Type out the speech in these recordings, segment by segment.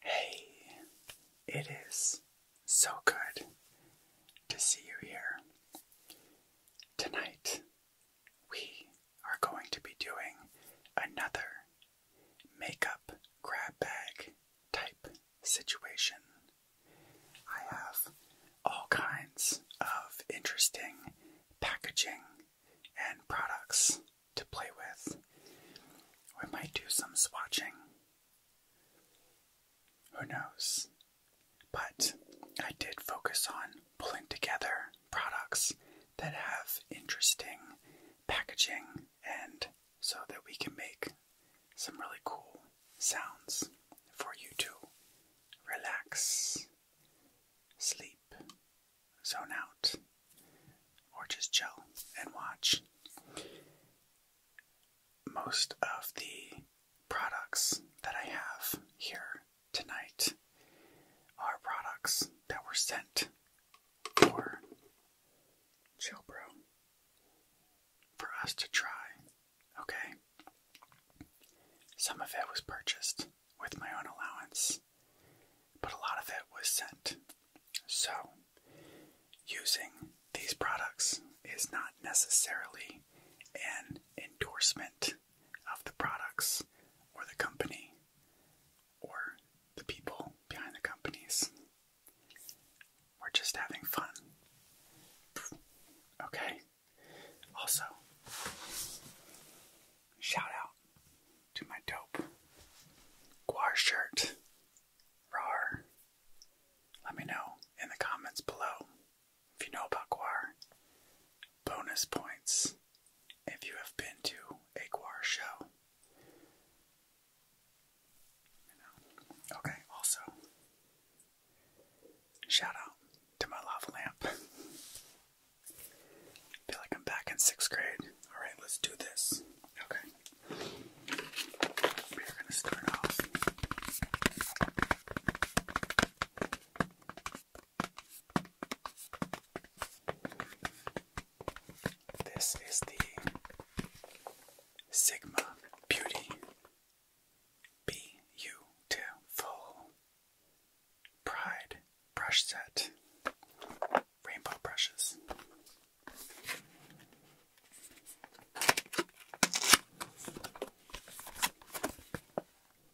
Hey, it is so good to see you here. Tonight, we are going to be doing another makeup grab bag type situation I have all kinds of interesting packaging and products to play with. We might do some swatching. Who knows? But I did focus on pulling together products that have interesting packaging and so that we can make some really cool sounds for you to relax, sleep, zone out, or just chill and watch. Most of the products that I have here tonight are products that were sent for Chill for us to try Okay. Some of it was purchased with my own allowance, but a lot of it was sent. So, using these products is not necessarily an endorsement of the products or the company or the people behind the companies. We're just having fun. Okay. Also, shout out to my dope guar shirt. Rar. Let me know in the comments below if you know about guar. Bonus points if you have been to a guar show. Okay, also, Shout out to my lava lamp. feel like I'm back in sixth grade. Alright, let's do this. Okay. We're gonna start off. This is the Sigma Beauty Beautiful. Pride brush set. Rainbow brushes.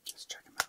Just check them out.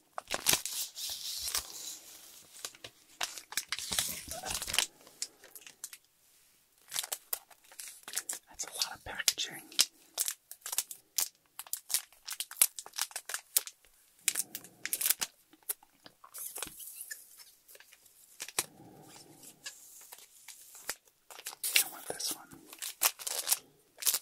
That's a lot of packaging. I want this one. Okay.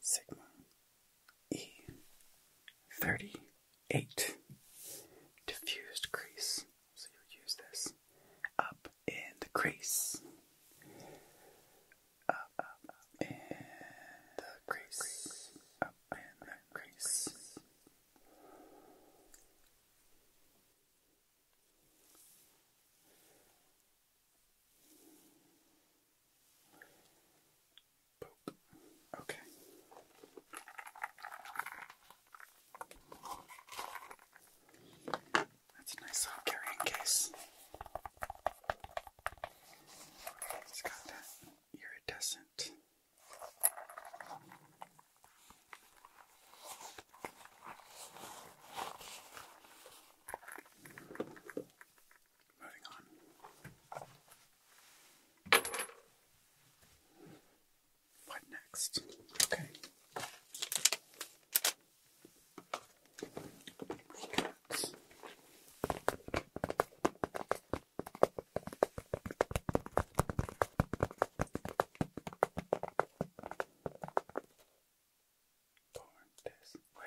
Sigma E38 diffused crease. So you use this up in the crease. up in the crease. Up in the crease. Okay. That's a nice little carrying case. It's got that iridescent. Moving on. What next? Okay. Recaps. Going this way.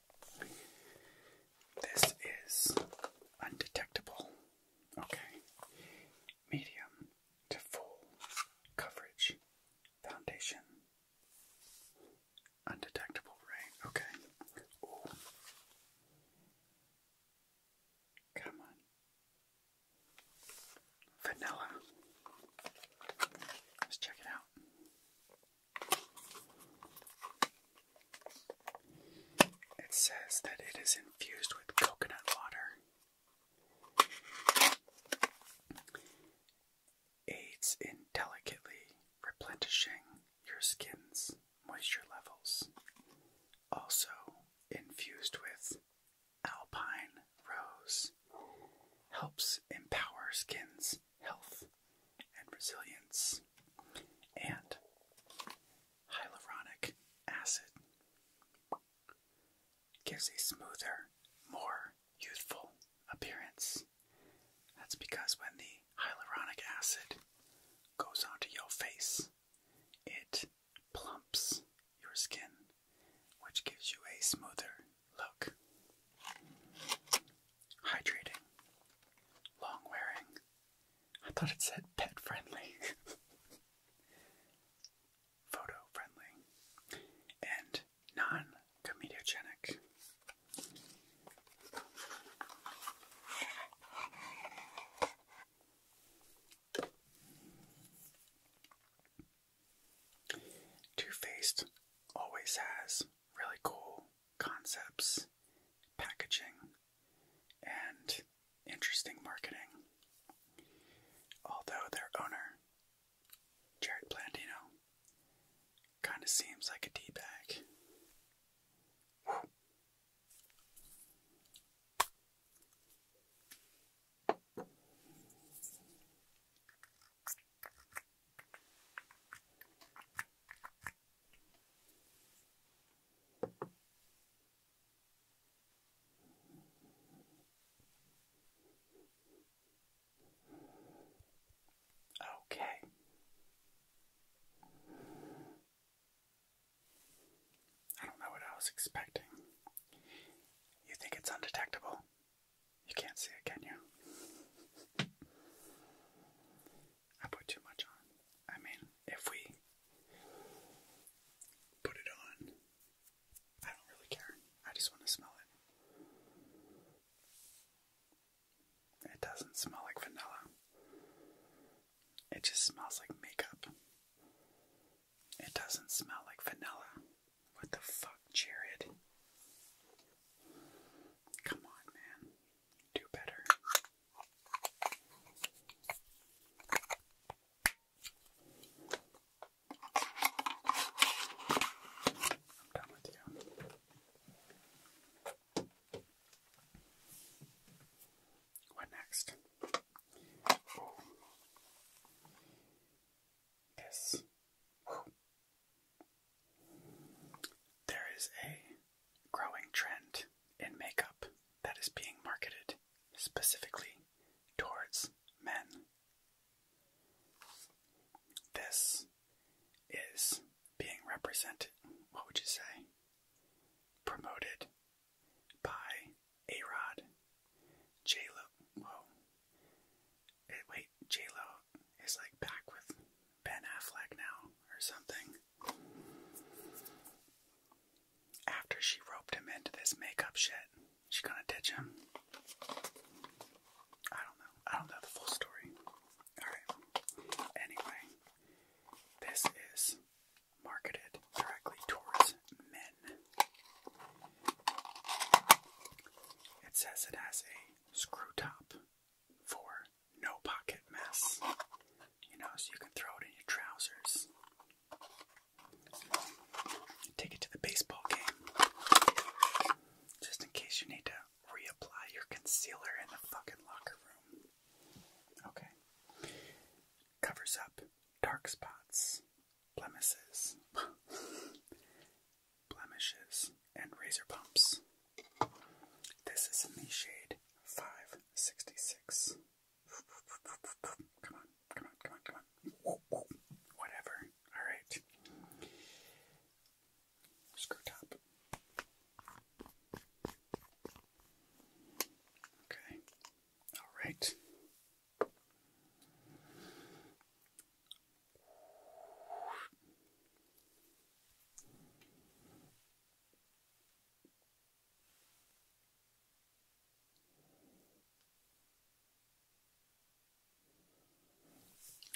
This is undetectable. Okay. Medium to full coverage foundation. Undetectable, right? Okay. Come on. Vanilla. Let's check it out. It says that it is infused with coconut water. Aids in delicately replenishing your skin's moisture levels. Also infused with alpine rose helps empower skin's health and resilience and hyaluronic acid gives a smoother, more youthful appearance. That's because when the hyaluronic acid goes onto your face, it plumps your skin, which gives you a smoother look hydrating, long wearing. I thought it said pet friendly, photo friendly, and non comedogenic. Two Faced always has really cool concepts, packaging, and interesting marketing. Although their owner, Jared Blandino, kind of seems like a D-bag. Okay. I don't know what I was expecting. You think it's undetectable? You can't see it, can you? I put too much on. I mean, if we put it on, I don't really care. I just want to smell it. It doesn't smell like vanilla. It just smells like makeup. It doesn't smell like vanilla. What the fuck, Jared? Come on, man. Do better. I'm done with you. What next? Ooh. This. Whew. There is a growing trend in makeup that is being marketed specifically towards men. This is being represented, what would you say? Promoted by A Rod, J Lo. Whoa. Wait, J Lo is like back with Ben Affleck now or something. After she roped him into this makeup shit, she gonna ditch him. I don't know. I don't know the full story. Alright. Anyway, this is marketed directly towards men. It says it has a screw top for no pocket mess. You know, so you can throw it in your trousers. Take it to the baseball game. Just in case you need to reapply your concealer in the fucking locker room. Okay. Covers up dark spots, blemishes, blemishes, and razor bumps. This is in the shade 566. Come on, come on, come on, come on. Whatever. Alright. Screw top. Okay. Alright.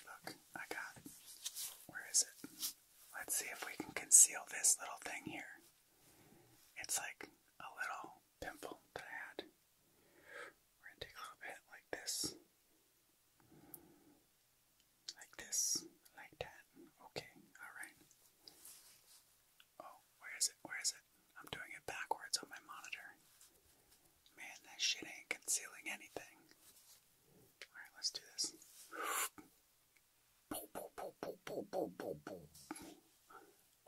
Look, I got. Where is it? Let's see if we can conceal this little thing here. It's like a little pimple that I had. We're gonna take a little bit like this. Like this, like that. Okay, alright. Oh, where is it? Where is it? I'm doing it backwards on my monitor. Man, that shit ain't concealing anything. Alright, let's do this.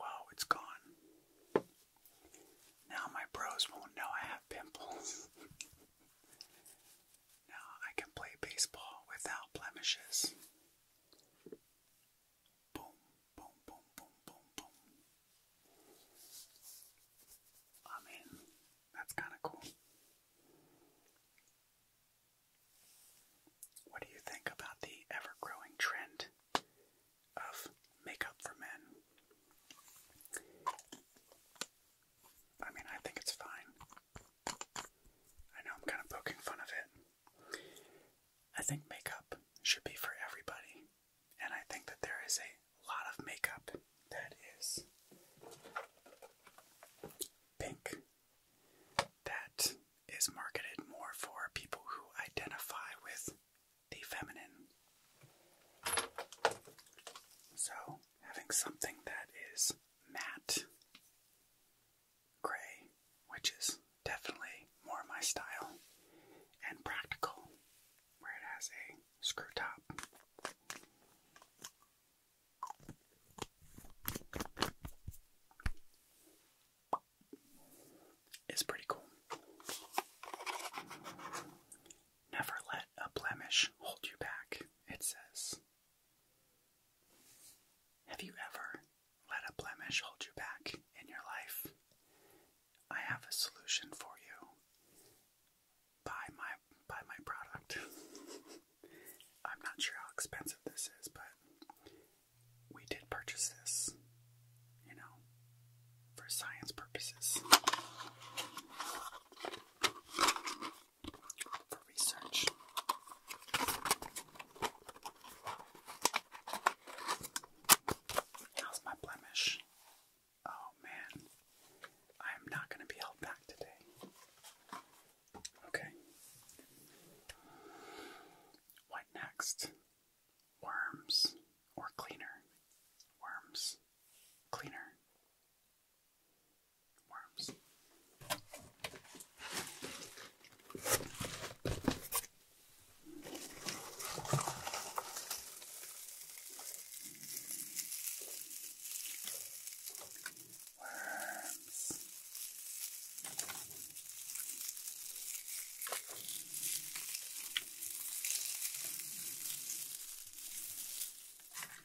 Wow, it's gone. Now my bros won't know I have pimples. Now I can play baseball without blemishes. Boom, boom, boom, boom, boom, boom. I mean, that's kind of cool. What do you think about the ever growing trend of makeup for men? I mean, I think it's fine. I know I'm kind of poking fun of it. I think makeup should be for everybody, and I think that there is a lot of makeup that is pink that is marketed more for people who identify with the feminine. So, having something that is matte gray, which is definitely more my style and practical, where it has a screw top. Is pretty cool. Never let a blemish hold you back, it says. Have you ever let a blemish hold you back in your life? I have a solution for you. Buy my buy my product. I'm not sure how expensive this is, but we did purchase this, you know, for science purposes for research. How's my blemish? Oh man, I am not going to be held back today. Okay. What next? Worms or cleaner? Worms. Cleaner. Worms. Worms.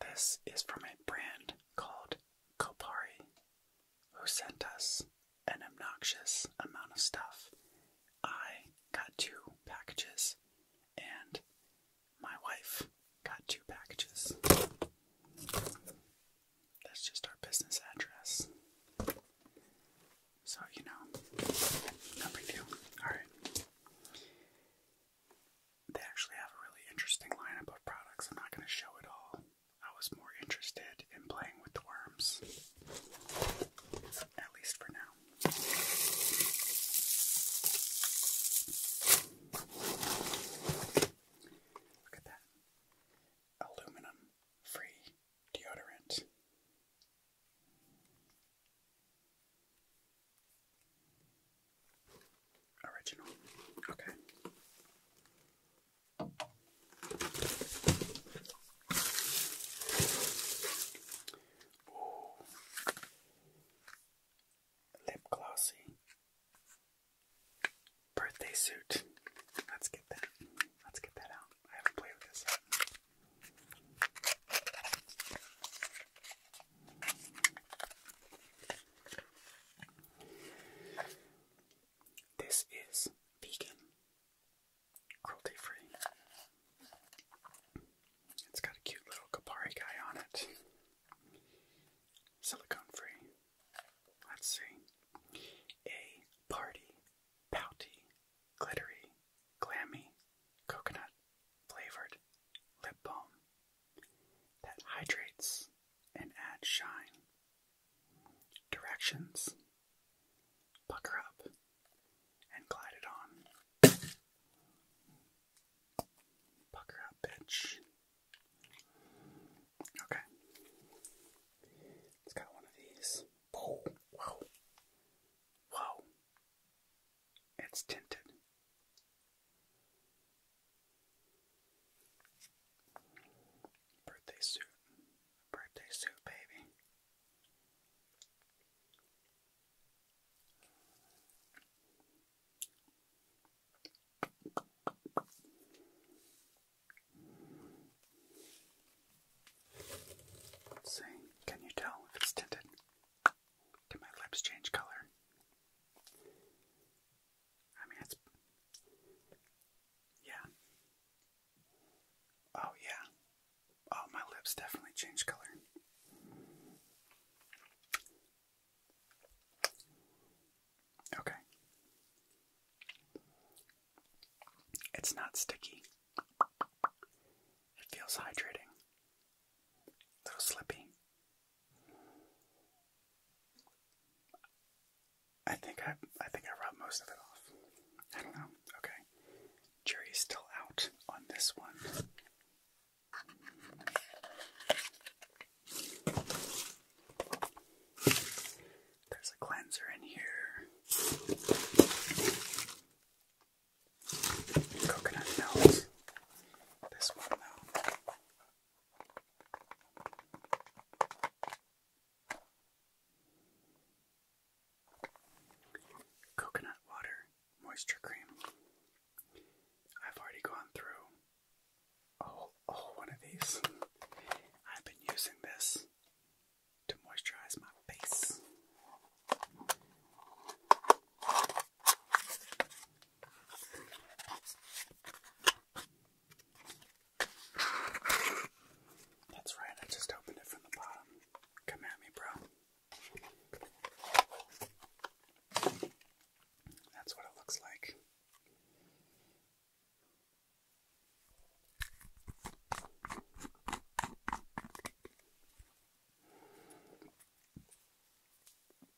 This is from a brand called Kopari, who sent us an obnoxious amount of stuff. I got two packages, and my wife got two packages. That's just our business address. So, you know, no big Alright. They actually have a really interesting lineup of products. I'm not going to show it all. I was more interested in playing with the worms, at least for now. Look at that. Aluminum free deodorant. Original. Okay. Lip glossy. Birthday suit. Let's get that. Let's get that out. I haven't played with this this is vegan, cruelty free. It's got a cute little Kapari guy on it. Silicone free. Let's see. A party, pouty, glittery, glammy, coconut, flavored, lip balm, that hydrates and adds shine. Directions Pucker up and glide it on. Pucker up, bitch. Okay. It's got one of these. Oh, whoa. Whoa. It's tinted. Birthday suit. Birthday suit, baby. see, can you tell if it's tinted? Did my lips change color? I mean, it's. Yeah. Oh, yeah. Oh, my lips definitely changed color. Okay. It's not sticky. It feels hydrating little slippy. I think I I think I rubbed most of it off. I don't know. Okay. Jury's still out on this one. There's a cleanser in here. Coconut milk. This one though. Coconut water moisture cream. I've already gone through a whole, one of these. I've been using this to moisturize my face. That's right, I just opened it from the bottom. Come at me, bro. That's what it looks like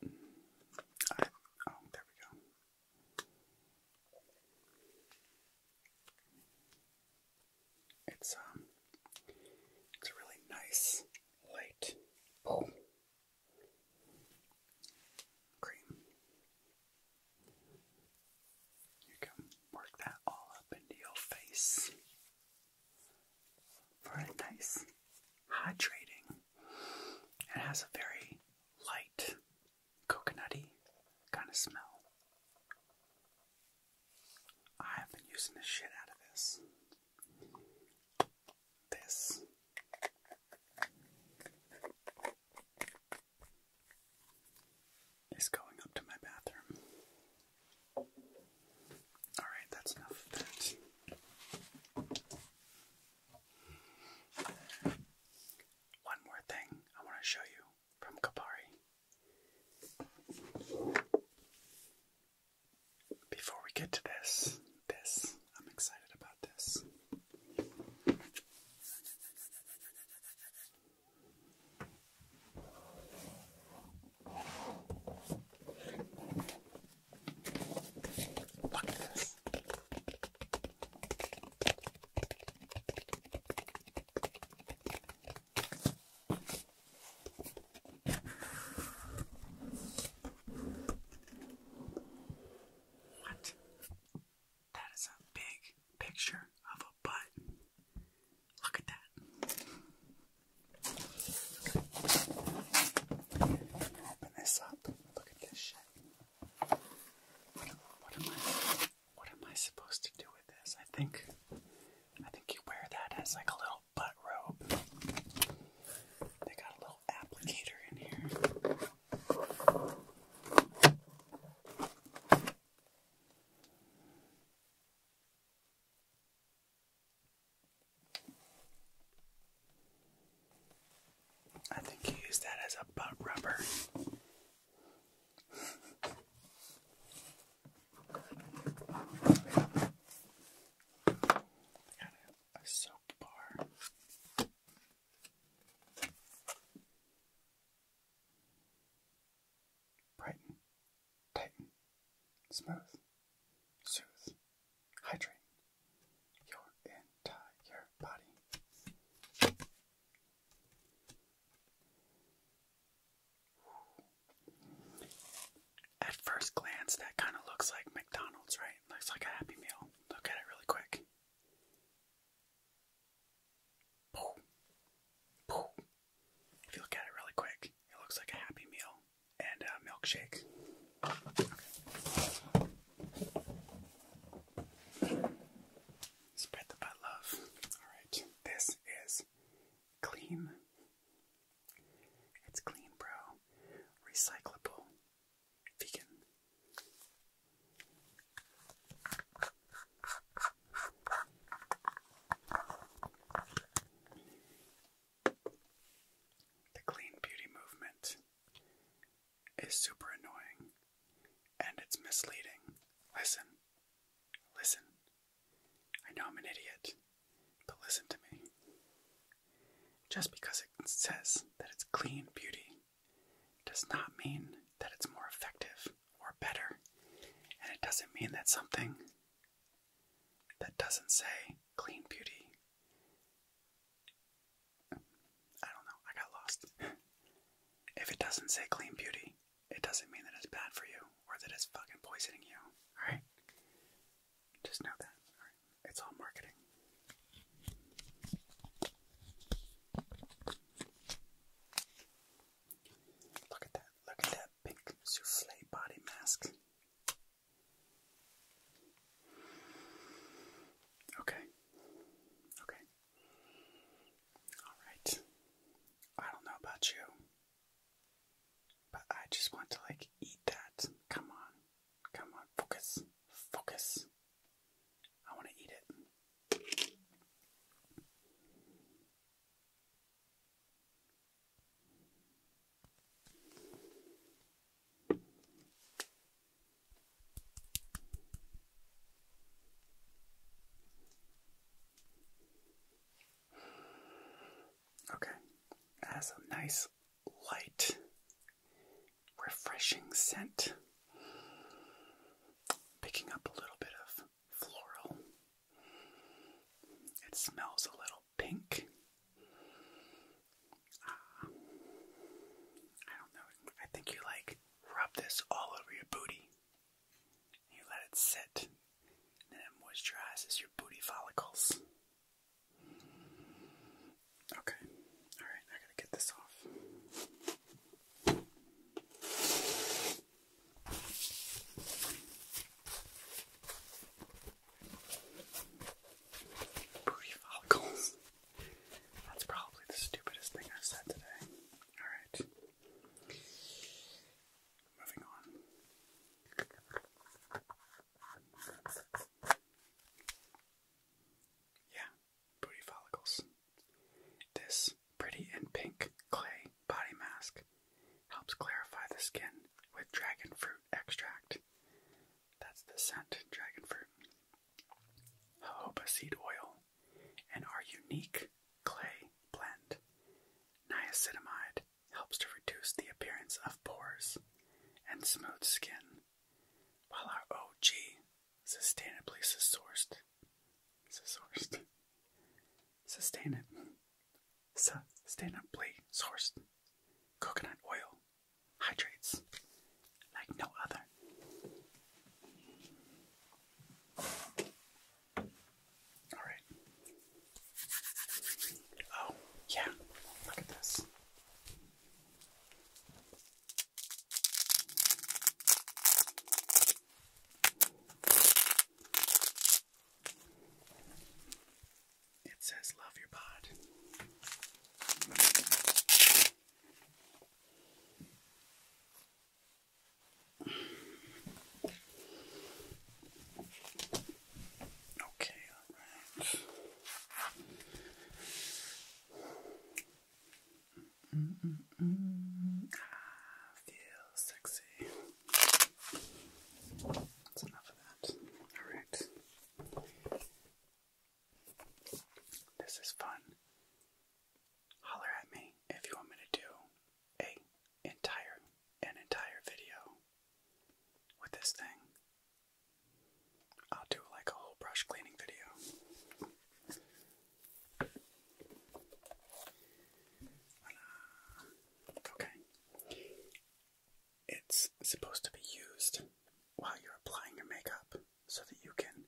oh, there we go. It's um, it's a really nice light oh cream. You can work that all up into your face for a nice hydrating it has a very light, coconutty kind of smell. I have been using the shit out of this. This. Is going up to my bathroom. Alright, that's enough of that. One more thing I want to show you from Kapari. Before we get to this, this, I'm excited about this. What? That is a big picture of a butt. Look at that. Open this up. Look at this shit. What, am I? What am I supposed to do with this? I think. I think you wear that as like a little butt robe. They got a little applicator in here. I think you used that as a butt rubber. Got a, a bar. Brighten, tighten, smooth, soothe. Hydrate your entire body. At first glance, that kind of looks like McDonald's, right? Looks like a Happy Meal. Look at it really quick. If you look at it really quick, it looks like a Happy Meal and a milkshake. Spread the love. Alright, this is clean. It's clean, bro. Recyclable. Vegan. The clean beauty movement is super annoying and it's misleading. Listen, listen. I know I'm an idiot, but listen to me. Just because it says that it's clean beauty does not mean that it's more effective or better, and it doesn't mean that something that doesn't say clean beauty I don't know. I got lost. if it doesn't say clean beauty, it doesn't mean that it's bad for you or that it's fucking poisoning you. All right? Just know that. All right? It's all marketing. Look at that. Look at that pink souffle body mask. Okay. Okay. All right. I don't know about you, but I just want to like eat that. Come on. Come on. Focus. Focus. I want to eat it. Okay, that a nice, light, refreshing scent. Picking up a little bit of floral. It smells a little pink. I don't know. I think you like rub this all over your booty. You let it sit, and then it moisturizes your booty follicles. Okay. Alright, I gotta get this off. Booty follicles. That's probably the stupidest thing I've said today. Alright. Moving on. Yeah, booty follicles. This pretty and pink clay body mask helps clarify the skin with dragon fruit extract. That's the scent, dragon fruit jojoba seed oil, and our unique clay blend. Niacinamide helps to reduce the appearance of pores and smooth skin, while our OG sustainably sourced, sourced, sustainably sourced coconut oil hydrates like no other. All right. Oh, yeah. Look at this. It says love your pod. Okay, all right. Mm hmm -mm. Ah, feel sexy. That's enough of that. All right. This is fun. Holler at me if you want me to do a entire an entire video with this thing. I'll do like a whole brush cleaning video. Okay. It's supposed to be used while you're applying your makeup so that you can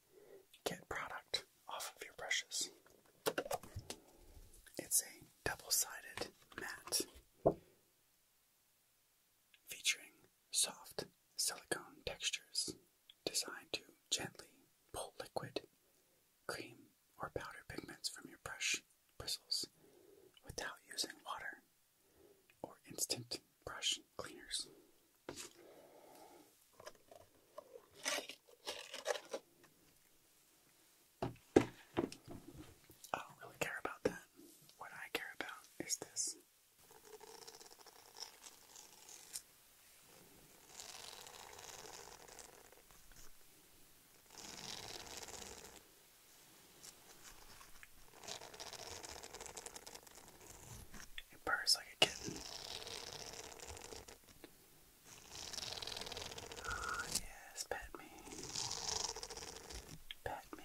get product off of your brushes. It's a double-sided mat featuring soft silicone textures designed to gently pull liquid, cream, or powder pigments from your brush bristles without using water or instant brush cleaners. I don't really care about that. What I care about is this. It purrs like a kitten. Ah, yes, pet me. Pet me.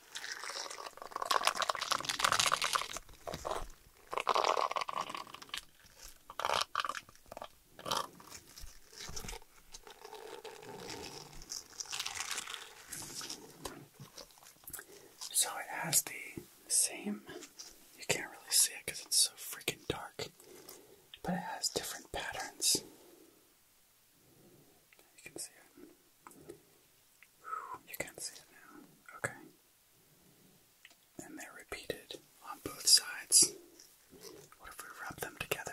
So it has the same, you can't really see it because it's so freaking dark, but it has different patterns. You can see it. You can see it now. Okay. And they're repeated on both sides. What if we rub them together?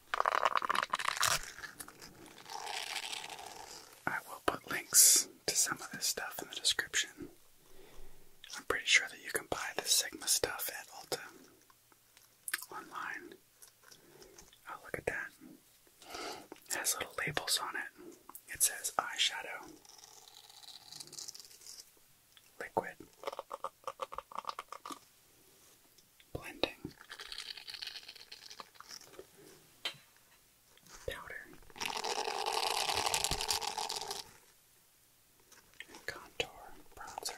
I will put links to some of this stuff in the description. I'm pretty sure that you can buy this Sigma stuff at Ulta online. Oh, look at that. It has little labels on it. It says eyeshadow, liquid, blending powder contour bronzer.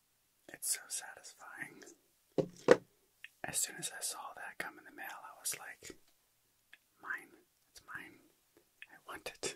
It's so satisfying. As soon as I saw that come in the mail, I was like, mine, it's mine. I want it.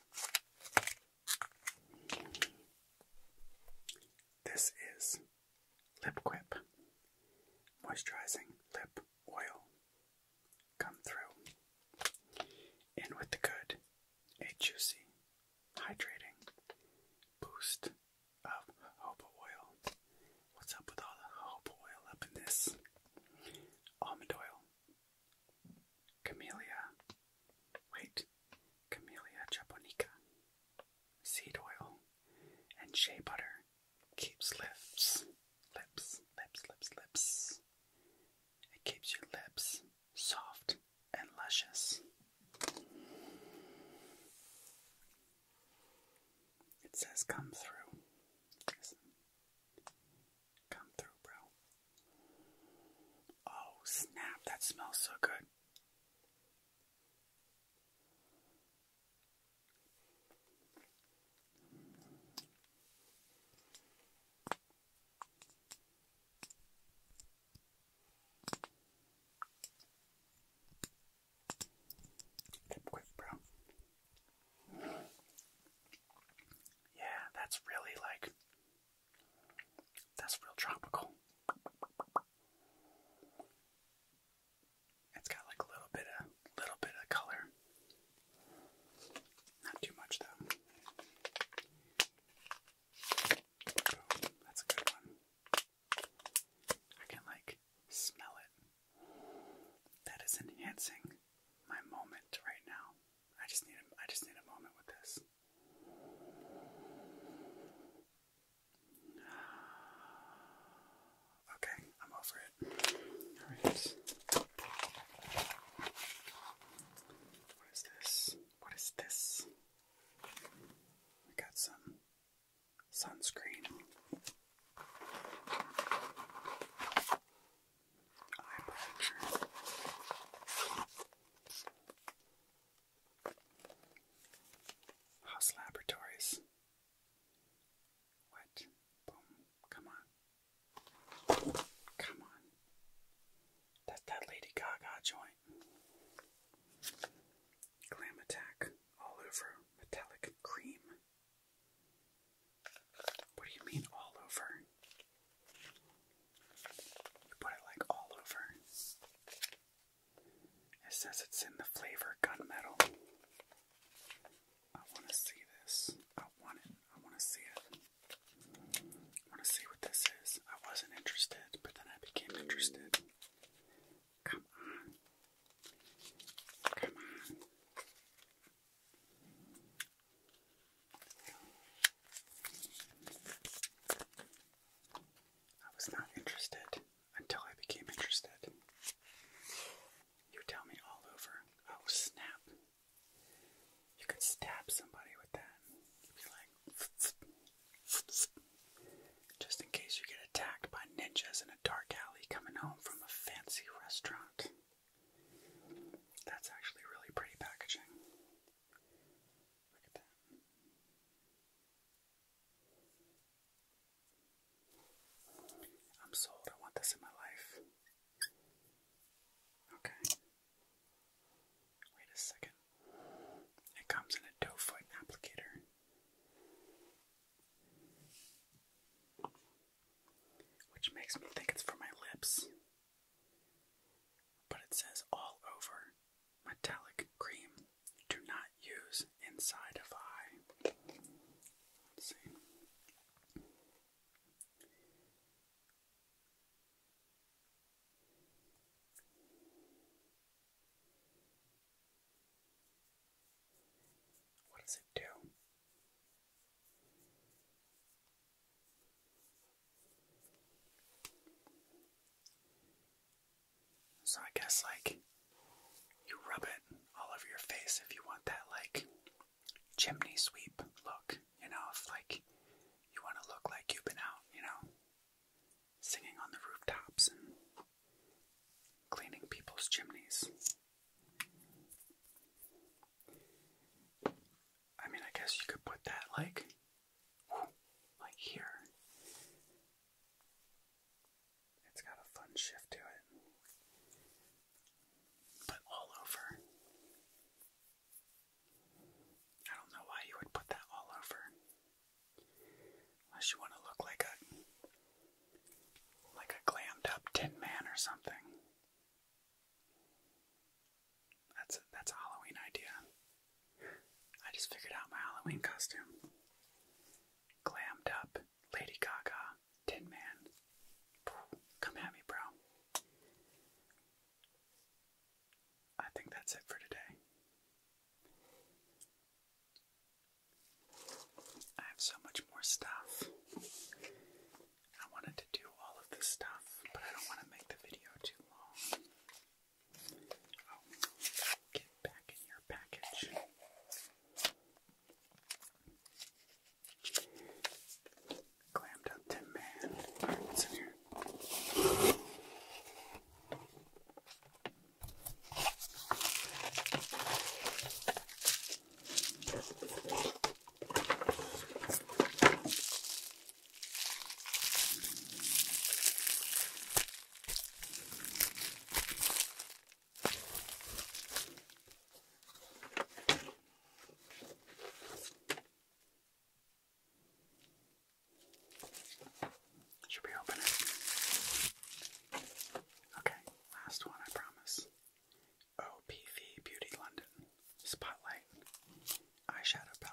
This is Lip Moisturizing Lip Oil. Come through. In with the good, a juicy, hydrating boost of jojoba oil. What's up with all the jojoba oil up in this? Almond oil, Camellia. Wait. Camellia japonica. Seed oil and shea butter keeps lips, lips, lips, lips, lips. It keeps your lips soft and luscious. It says come through. Come through, bro. Oh, snap, that smells so good. Lip quick, bro. Yeah, that's really like. That's real tropical. It's got like a little bit of little bit of color. Not too much though. That's a good one. I can like smell it. That is enhancing my moment right now. I just need a, I just need a moment with this. Okay, I'm over it. All right. What is this? What is this? We got some sunscreen eye pressure. House Laboratories. What? Boom. Come on. Come on. That's that Lady Gaga joint. Glam Attack. All over metallic cream. What do you mean all over? You put it like all over. It says it's in the flavor gunmetal. I want to see this. I want it. I want to see it. I want to see what this is. I wasn't interested, but then I became interested. Come on. Come on. I was not interested until I became interested. You tell me all over. Oh, snap. You could stab somebody with that. be like, just in case you get attacked by ninjas in a dark alley coming home from a fancy restaurant. That's actually really pretty packaging. Look at that. I'm sold. I want this in my life. Okay. Wait a second. It comes in a doe foot applicator. Which makes me think it's for my lips. But it says all over metallic cream. Do not use inside of eye. Let's see. What does it do? So I guess like you rub it all over your face if you want that like chimney sweep look, you know, if like you want to look like you've been out, you know, singing on the rooftops and cleaning people's chimneys. I mean, I guess you could put that like, like here. It's got a fun shift to it, but all over. I don't know why you would put that all over, unless you want to look like a like a glammed up Tin Man or something. That's a, that's a Halloween idea. I just figured out my Halloween costume. Glammed up, Lady Gaga, Tin Man. Come at me, bro. I think that's it for today. I have so much more stuff. I wanted to do all of this stuff, but I don't want to make the video too long. Oh, get back in your package. Clammed up to man. Alright, what's in here? Should we open it? Okay, last one, I promise. OPV Beauty London. Spotlight eyeshadow palette.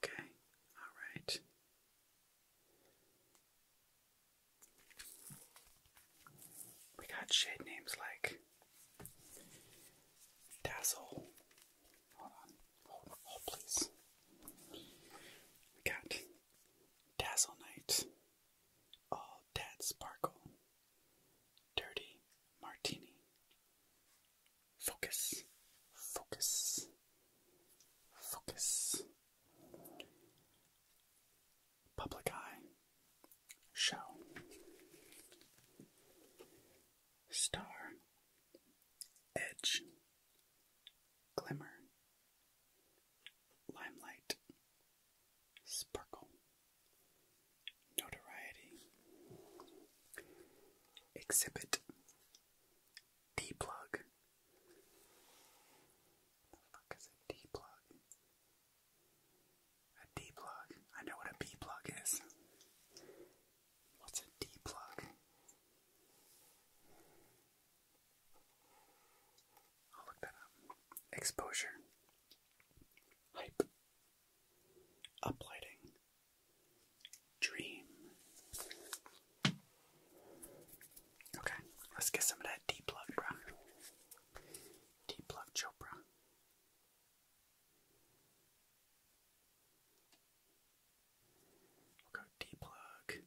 Okay, all right. We got shade names like Dazzle. Hold on, hold, please. We got Dazzle Night, All Dad Sparkle, Dirty Martini, Focus. Focus. Focus. Public eye. Show. Star. Edge. Glimmer. Limelight. Sparkle. Notoriety Exhibit D plug. The fuck is a D plug? A D plug. I know what a B plug is. What's a D plug? I'll look that up. Exposure. Hype. Uplighting. Dream. Okay, let's get some of that deep love, bro. Deep love, Chopra. go deep plug.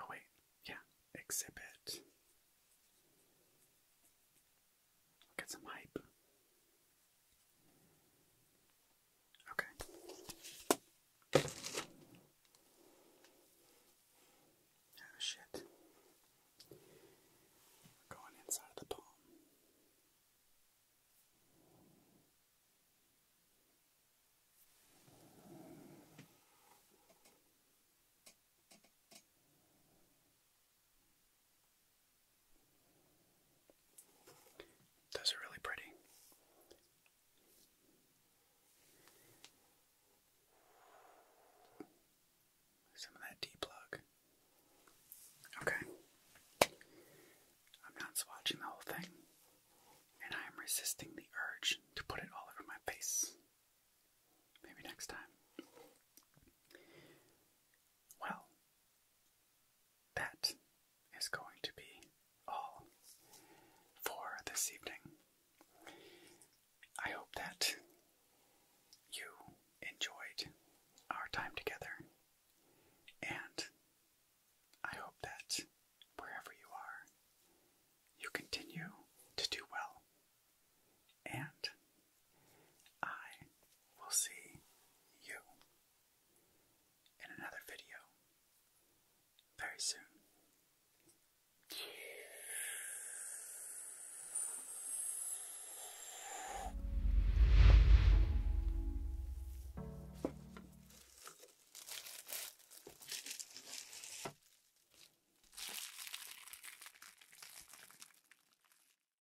Oh wait, yeah, exhibit. Get some hype. Okay. Oh shit. going inside the palm. Those are really pretty. Some of that D plug. Okay. I'm not swatching the whole thing, and I am resisting the urge to put it all over my face. Maybe next time. Well, that is going to be all for this evening. I hope that you enjoyed our time together, and I hope that wherever you are, you continue to do well. And I will see you in another video very soon.